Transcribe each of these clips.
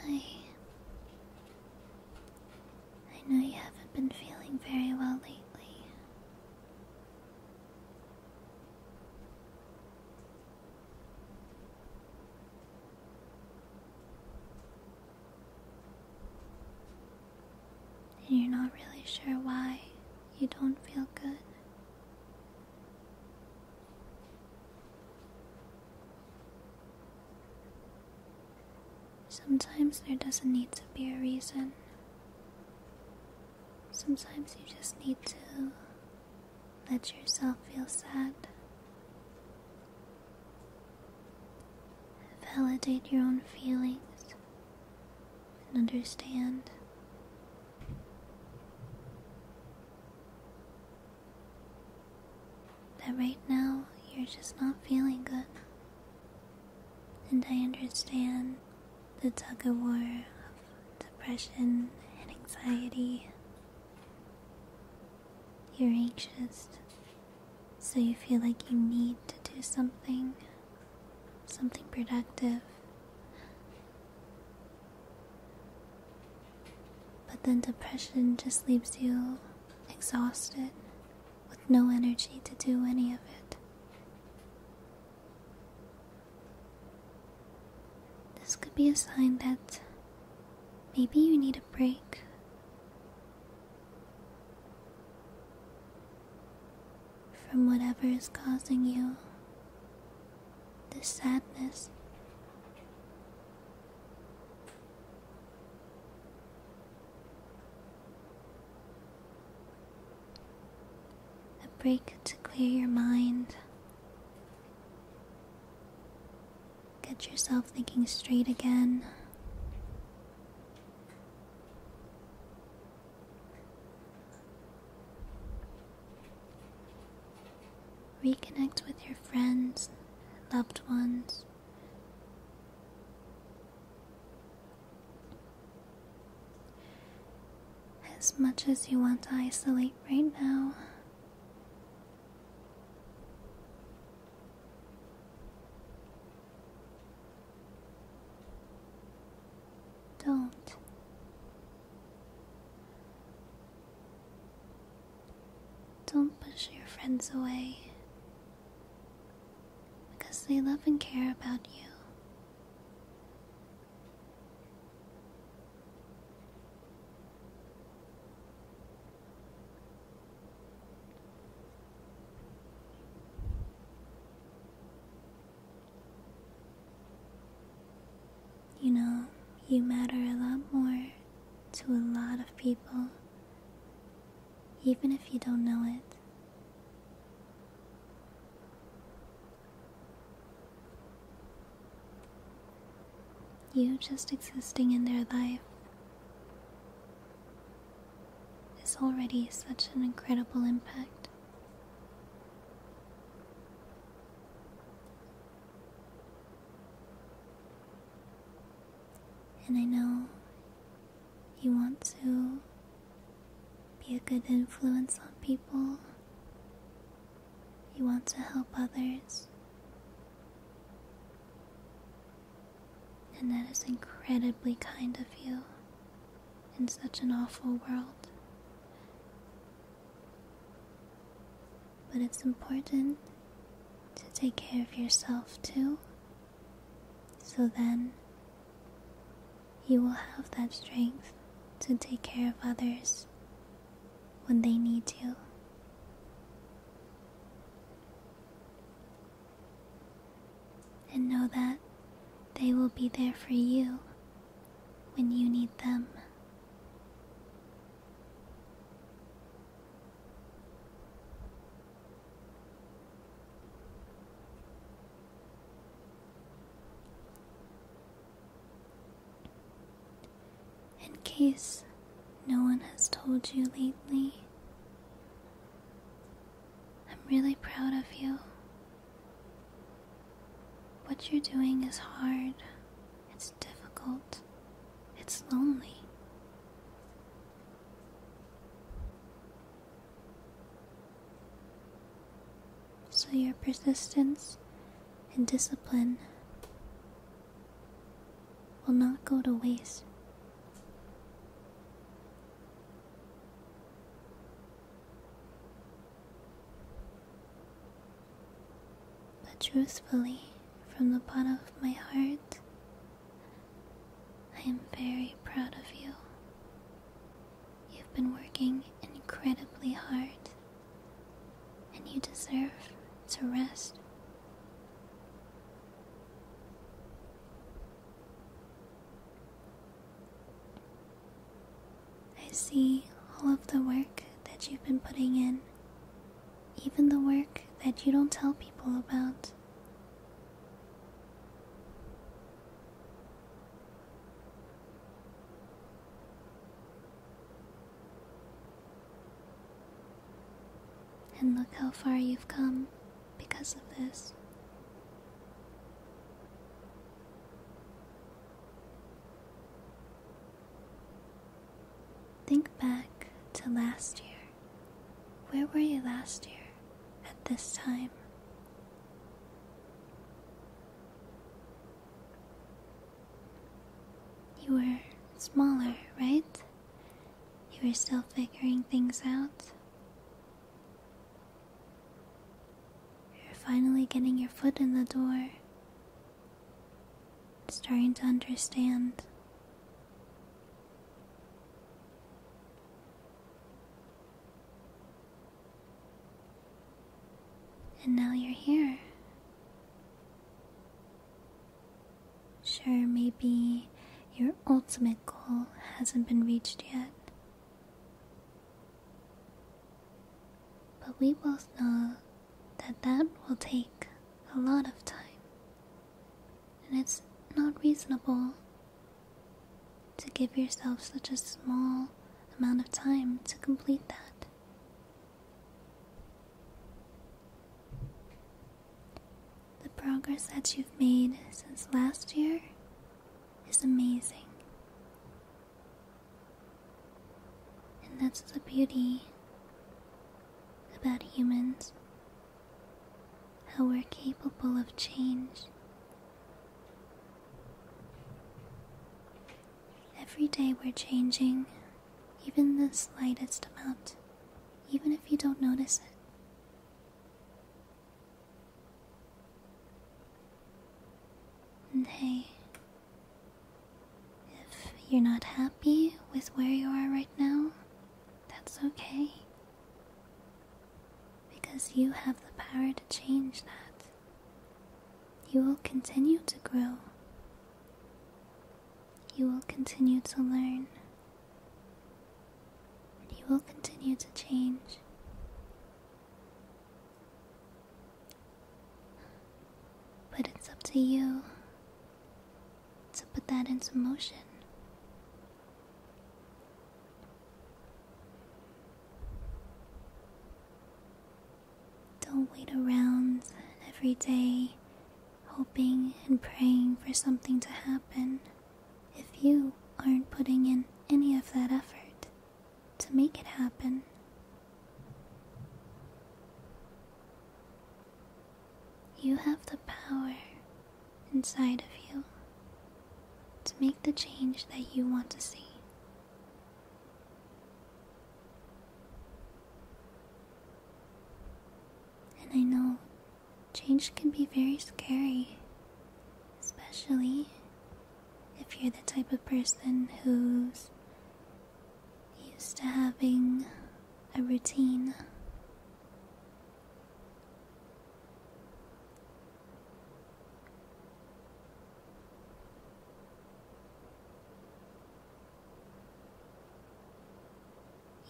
Hi. I know you haven't been feeling very well lately you're not really sure why you don't feel good. Sometimes there doesn't need to be a reason. Sometimes you just need to let yourself feel sad. Validate your own feelings and understand. That right now you're just not feeling good. And I understand the tug of war of depression and anxiety you're anxious, so you feel like you need to do something, something productive. But then depression just leaves you exhausted with no energy to do any of it. This could be a sign that maybe you need a break. From whatever is causing you this sadness. A break to clear your mind Get yourself thinking straight again. Reconnect with your friends, loved ones. As much as you want to isolate right now, don't. Don't push your friends away because they love and care about you. You know, you matter a lot more to a lot of people, even if you don't know it. You just existing in their life is already such an incredible impact. And I know you want to be a good influence on people you want to help others. And that is incredibly kind of you in such an awful world. But it's important to take care of yourself too, so then you will have that strength to take care of others when they need you. And know that they will be there for you when you need them. In case no one has told you lately, I'm really proud of you. What you're doing is hard, it's difficult, it's lonely. So your persistence and discipline will not go to waste. But truthfully, from the bottom of my heart, I am very proud of you You've been working incredibly hard, and you deserve to rest. I see all of the work that you've been putting in, even the work that you don't tell people about. And look how far you've come because of this. Think back to last year. Where were you last year at this time? You were smaller, right? You were still figuring things out. You're finally getting your foot in the door, starting to understand. And now you're here. Sure, maybe your ultimate goal hasn't been reached yet. But we both know that that will take a lot of time. And it's not reasonable to give yourself such a small amount of time to complete that. The progress that you've made since last year is amazing. And that's the beauty about humans how we're capable of change Every day we're changing, even the slightest amount, even if you don't notice it. And hey, if you're not happy with where you are right now, that's okay. Because you have the power to change that. You will continue to grow. You will continue to learn. you will continue to change. But it's up to you to put that into motion. Don't wait around every day hoping and praying for something to happen if you aren't putting in any of that effort to make it happen. You have the power inside of you to make the change that you want to see. And I know change can be very scary, especially if you're the type of person who's used to having a routine.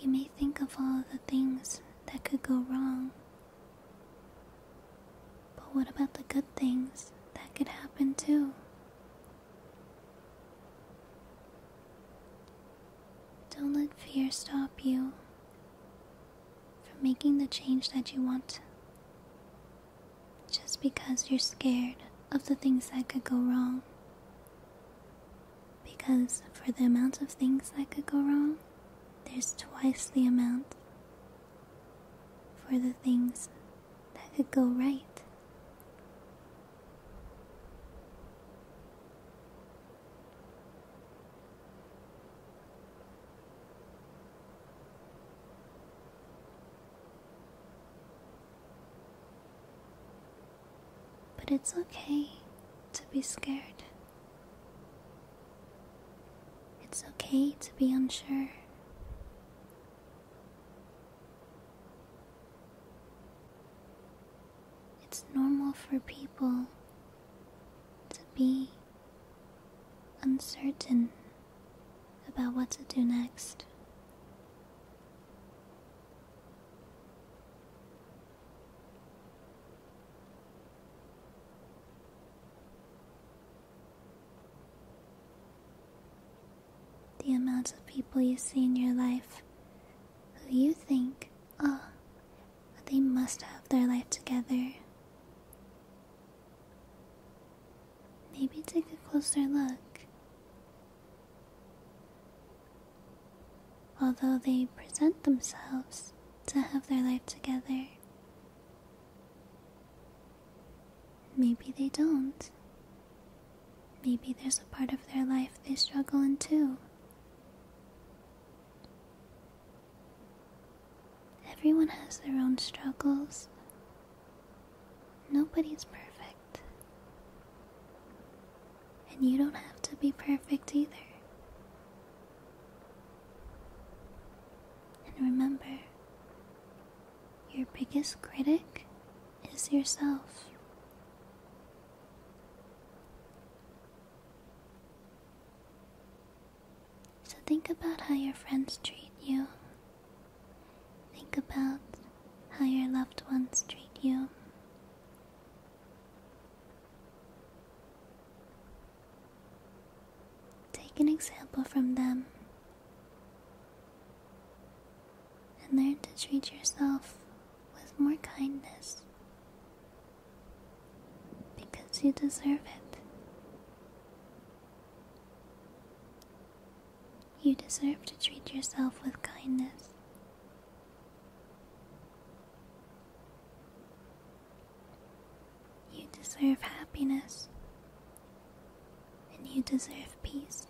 You may think of all the things that could go wrong, but what about the good things that could happen too? Don't let fear stop you from making the change that you want. Just because you're scared of the things that could go wrong. Because for the amount of things that could go wrong, there's twice the amount for the things that could go right. But it's okay to be scared. It's okay to be unsure. It's normal for people to be uncertain about what to do next. The amount of people you see in your life who you think Oh, they must have their life together. Maybe take a closer look. Although they present themselves to have their life together, maybe they don't. Maybe there's a part of their life they struggle in too. Everyone has their own struggles. Nobody's perfect. And you don't have to be perfect either. And remember, your biggest critic is yourself. So think about how your friends treat you. Think about how your loved ones treat you. Take an example from them and learn to treat yourself with more kindness because you deserve it. You deserve to treat yourself with kindness. You deserve happiness. And you deserve peace.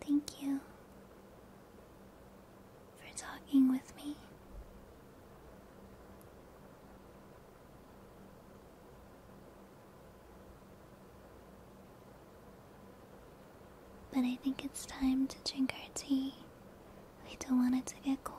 Thank you for talking with me. But I think it's time to drink our tea. We don't want it to get cold.